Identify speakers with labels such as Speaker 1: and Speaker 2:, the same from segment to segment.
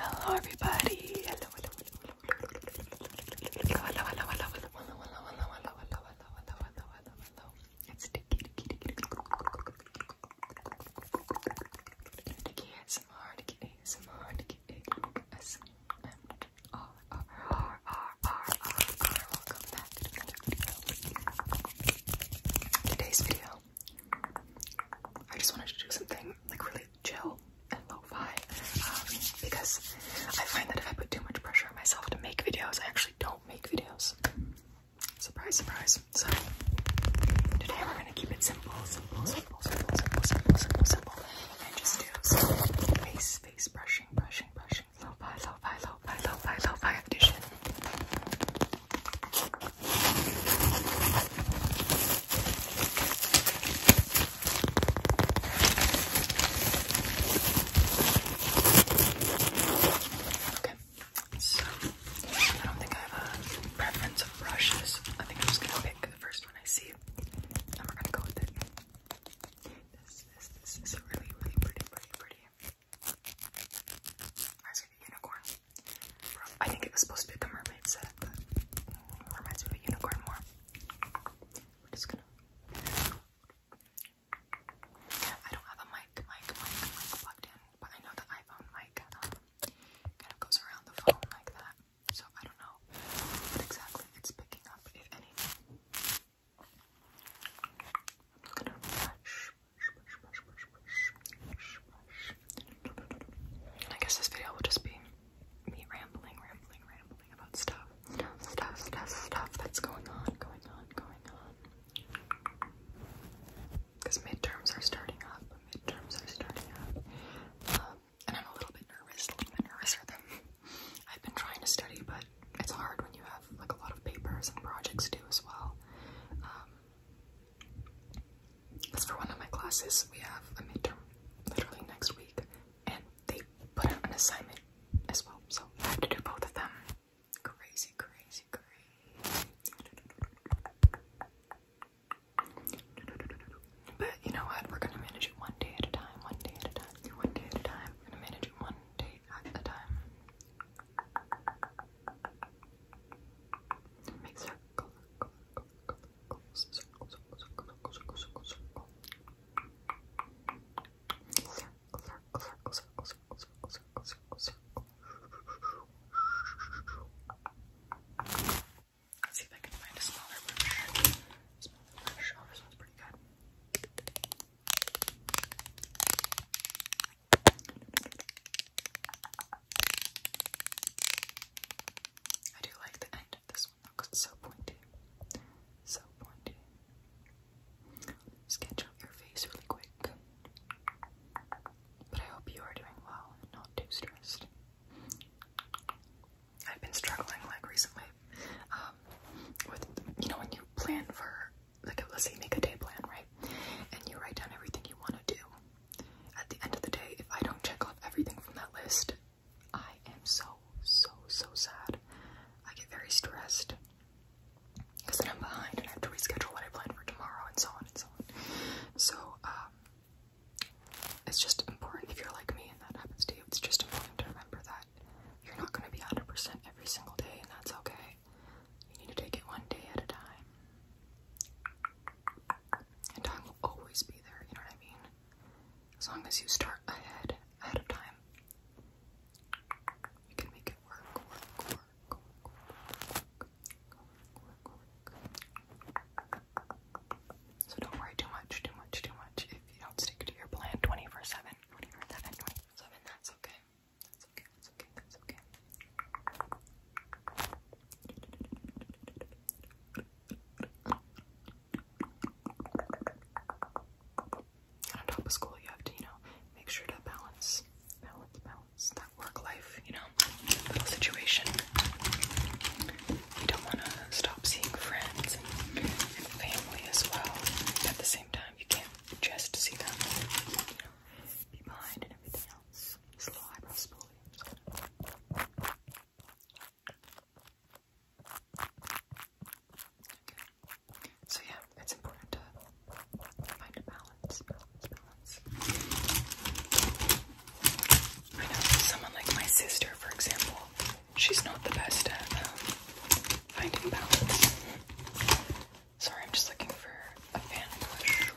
Speaker 1: Hello, everybody. Hello, hello, hello, hello, hello, hello, hello, hello, hello, hello, hello, hello, hello, hello, hello, hello, hello. It's Dicky, Dicky, Dicky, Dicky ASMR, Dicky ASMR, Dicky ASMR. R, R, R, R, R, R. Welcome back to today's video. I just wanted to do something like really chill and lo-fi um, because I find that if I put too much pressure on myself to make videos, I actually don't make videos. Surprise, surprise. So today we're gonna keep it simple, simple, simple, simple, simple, simple, simple, and just do some face, face brushing, brushing, brushing, lo-fi, lo-fi, lo-fi, lo-fi, lo edition. Okay, so I don't think I have a preference of brushes. I think I'm just gonna pick the first one I see, and we're gonna go with it. This, this, this is really, really pretty, pretty, pretty. I see the unicorn. I think it was supposed to be a mermaid set, but reminds me of a unicorn more. I don't have a mic, mic, mic, mic plugged in, but I know the iPhone mic um, kind of goes around the phone like that, so I don't know what exactly it's picking up, if anything. I'm gonna brush, brush, brush, brush, brush, brush, brush. I guess this video will just be me rambling, rambling, rambling about stuff, stuff, stuff, stuff that's going on, going on, going on. Because midterms are starting up, midterms are starting up. Um, and I'm a little bit nervous, a little bit nervous nervouser than I've been trying to study, but it's hard when you have like a lot of papers and projects due as well. Um, as for one of my classes, we have a midterm literally next week, and they put out an assignment as well, so I have to do both of them. Crazy, crazy, crazy. But you know what? We're gonna manage it one day at a time, one day at a time, one day at a time. I'm gonna manage one day at a time. Make circle, circle, circle, circle, circle, circle, circle, circle, circle. Circle, circle, circle, circle, circle, circle, circle, circle, circle. Let's see if I can find a smaller brush. Smaller brush. Oh, this one's pretty good. I do like the end of this one though, so pointy. So pointy. Sketch out your face really quick. But I hope you are doing well not too stressed. I've been struggling like recently um, with, you know, when you plan for, like, let's say make a day plan, right? And you write down everything you want to do. At the end of the day, if I don't check off everything from that list, I am so, so, so sad. I get very stressed because then I'm behind and I have to reschedule what I planned for tomorrow and so on and so on. So, um, it's just important if you're like me and that happens to you, it's just important to remember that you're not going to be 100% every single day, and that's okay. You need to take it one day at a time. And time will always be there, you know what I mean? As long as you start ahead, ahead of time, you can make it work. So don't worry too much, too much, too much if you don't stick to your plan 24 7. 24 7, 24 7. That's okay. That's okay. That's okay. That's okay. And on top of school, you have to, you know, make sure to balance, balance, balance work life, you know, little situation. You don't want to stop seeing friends family as well at the same time. You can't just see them, you know, be behind and everything else. Just little eyebrow spoolie. Okay. So yeah, it's important to find a balance. I know someone like my sister, for example, she's not the best at um, finding balance. Sorry, I'm just looking for a fan push.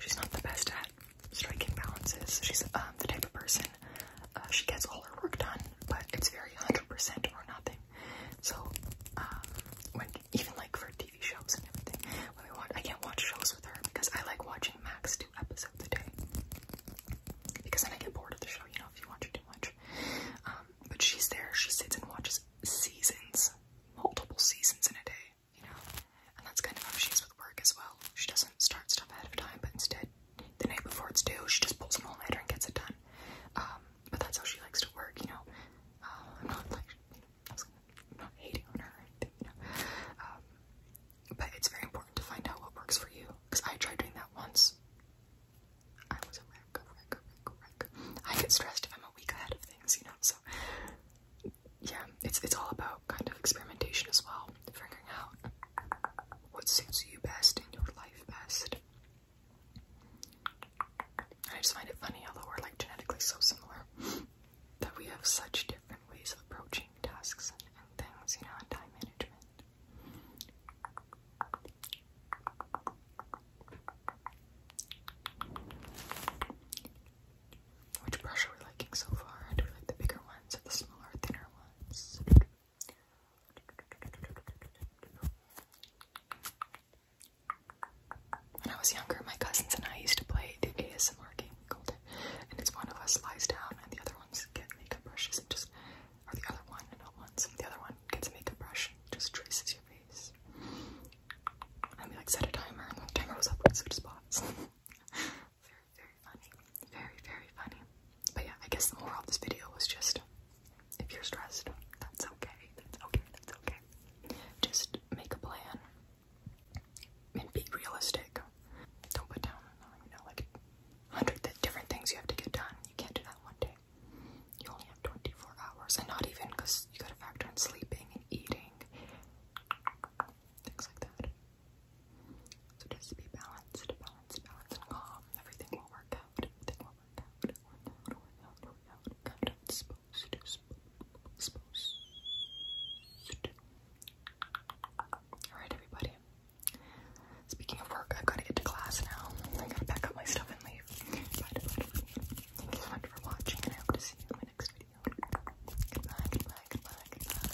Speaker 1: She's not the best at striking balances. She's um, the type of person uh, she gets all her work done, but it's very 100% or nothing. So um, when even like for TV shows and everything. When we watch, I can't watch shows with her because I like watching max two episodes a day. Because then I get bored of the show, you know, if you watch it too much. Um, but she's there, she sits and watches seasons, multiple seasons in a day, you know. And that's kind of how she is with work as well. She doesn't start stuff ahead of time, but instead, the night before it's due, she just pulls an all-nighter and gets it done. Um, but that's how she likes to work, you know. Uh, I'm not like, you know, I am not hating on her or anything, you know. but it's very important to find out what works for you. Because I tried doing that once. I was a wreck, a wreck, a wreck, a wreck. I get stressed if I'm a week ahead of things, you know, so yeah, it's it's all about kind of experimentation as well. Figuring out what suits you best in your life best. I just find it funny, although we're like genetically so similar, that we have such different ways of approaching tasks and things, you know, and time management. Which brush are we liking so far? Do we like the bigger ones or the smaller, thinner ones? When I was younger, my cousins and I used to play the ASMR game, we called it. And it's one of us lies down and the other ones get makeup brushes and just, or the other one, not once, the other one gets a makeup brush and just traces your face. And we like set a timer and the timer was up, we'd switch spots. very, very funny. Very, very funny. But yeah, I guess the moral of this video was just if you're stressed, that's okay. That's okay. That's okay. Just make a plan and be realistic. Don't put down, you know, like hundred different things you have to get done. You can't do that one day. You only have 24 hours, and not even because you gotta factor in sleeping and eating, things like that. So just be balanced, balanced, balanced, and calm. Everything will work out. Alright, everybody. Speaking of work, I've got to get to class now. I gotta pack up my stuff and leave. Thank you so much for watching, and I hope to see you in my next video. Goodbye, goodbye, goodbye, goodbye.